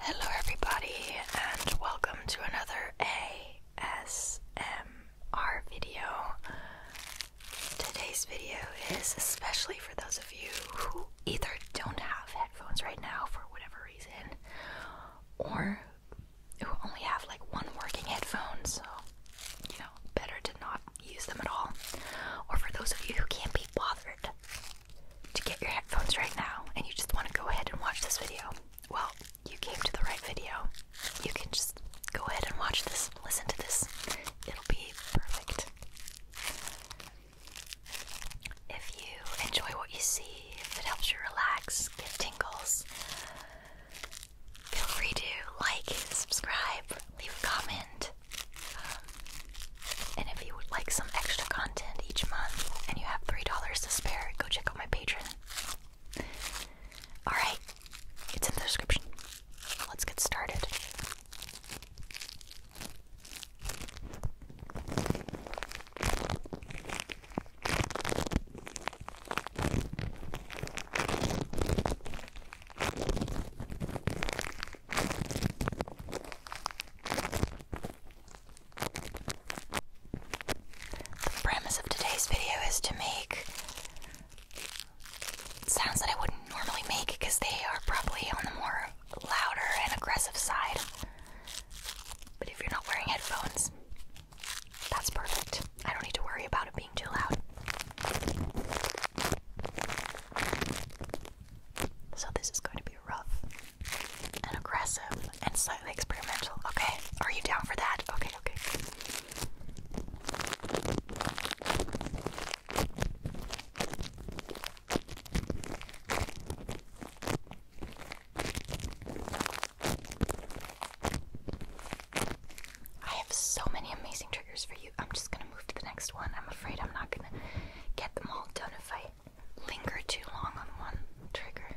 Hello, everybody, and welcome to another ASM our video. Today's video is especially for those of you who either don't have headphones right now for whatever reason or who only have like one working headphone, so you know, better to not use them at all. Or for those of you who can't be bothered to get your headphones right now and you just want to go ahead and watch this video. Well, you came to the right video. You can just go ahead and watch this, listen to this. It'll be perfect. If you enjoy what you see, if it helps you relax, get tingles, feel free to like, subscribe, leave a comment. Um, and if you would like some extra content each month and you have $3 to spare, go check out my Patreon. Alright, it's in the description. Let's get started. The premise of today's video is to make sounds that I wouldn't normally make because they are probably on the more louder and aggressive side. But if you're not wearing headphones, that's perfect. I don't need to worry about it being too loud. So, this is going to be rough and aggressive and slightly experimental. Okay, are you down for that? Okay, okay. I have so many amazing triggers for you. I'm just gonna move to the next one. I'm afraid I'm not gonna get them all done if I linger too long on one trigger.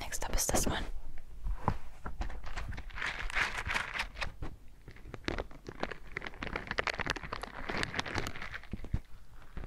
Next up is this one.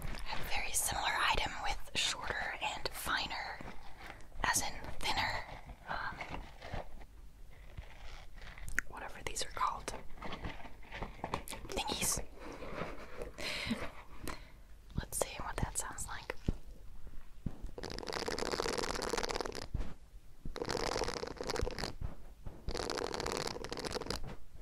a very similar item with shorter and finer, as in thinner, um, whatever these are called, thingies. Let's see what that sounds like.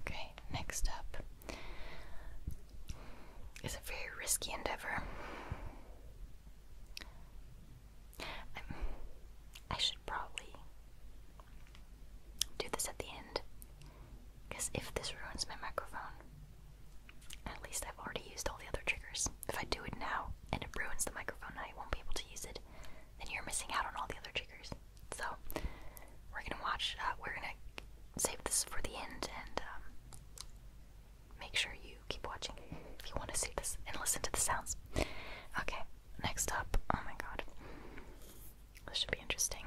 Okay, next up is a very risky endeavor. i should probably do this at the end because if this ruins my microphone, at least I've already used all the other triggers. If I do it now and it ruins the microphone, I won't be able to use it. And you're missing out on all the other triggers. So we're gonna watch. Uh, we're gonna save this for the end and um, make sure you keep watching if you want to see this and listen to the sounds. Okay, next up. Oh my god, this should be interesting.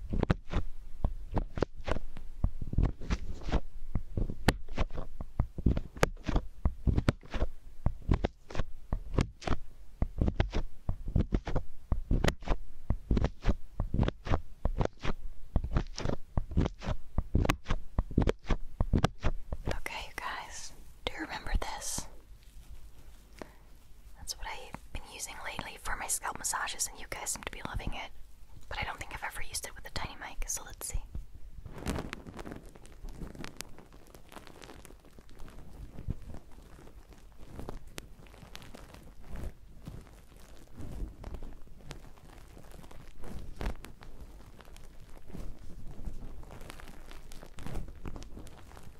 Okay, you guys, do you remember this? That's what I've been using lately for my scalp massages, and you guys seem to be loving it. But I don't think I've ever used it with a tiny mic, so let's see.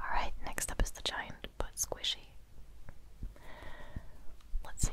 Alright, next up is the giant but squishy. Let's see.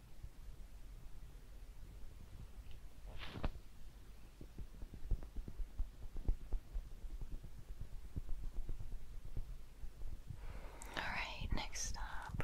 All right, next up.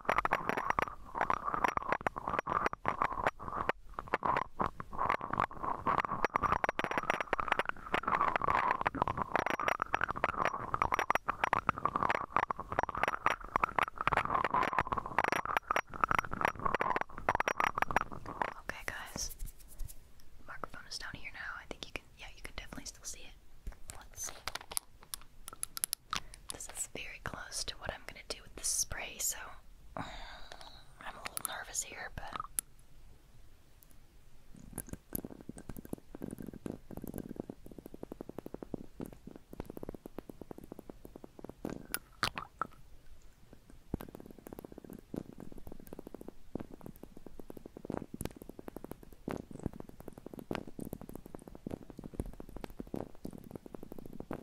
Okay, guys. Microphone is down here now. I think you can, yeah, you can definitely still see it. Let's see. This is very close to what I'm gonna do with the spray, so I'm a little nervous here, but.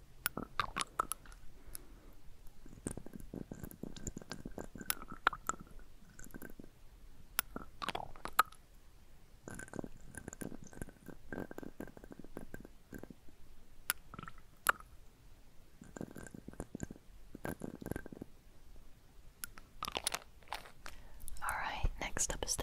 All right, next up is this.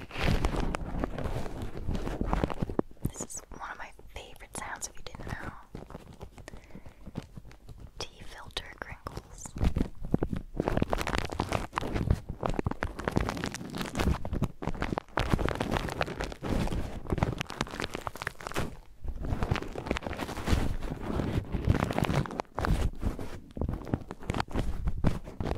This is one of my favorite sounds if you didn't know. Tea filter crinkles.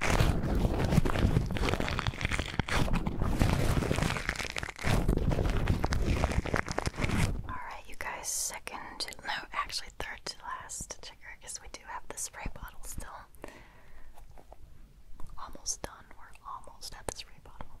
Alright, you guys, second, no, actually, third to last trigger because we do have the spray bottle still. Almost done, we're almost at the spray bottle.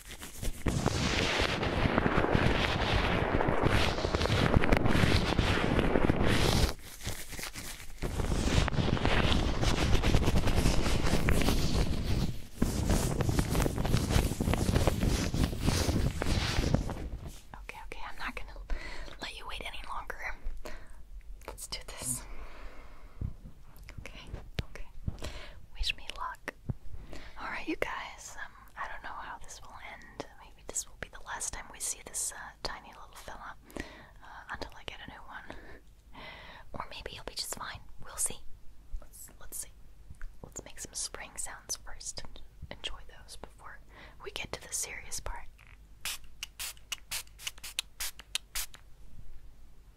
Okay, okay, I'm not going to let you wait any longer. Let's do this. Okay, okay. Wish me luck. Alright, you guys, um, I don't know how this will end. Maybe this will be the last time we see this uh, tiny little fella uh, until I get a new one. or maybe he'll be just fine. We'll see. Let's, see. Let's make some spring sounds first and enjoy those before we get to the serious part.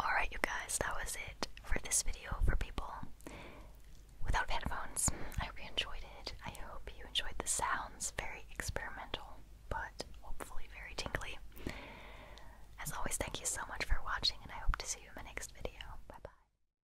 Alright, you guys, that was it for this video for people without headphones. I hope you enjoyed it. I hope you enjoyed the sounds. Very experimental, but hopefully very tingly. As always, thank you so much for watching, and I hope to see you in my next video. Bye bye.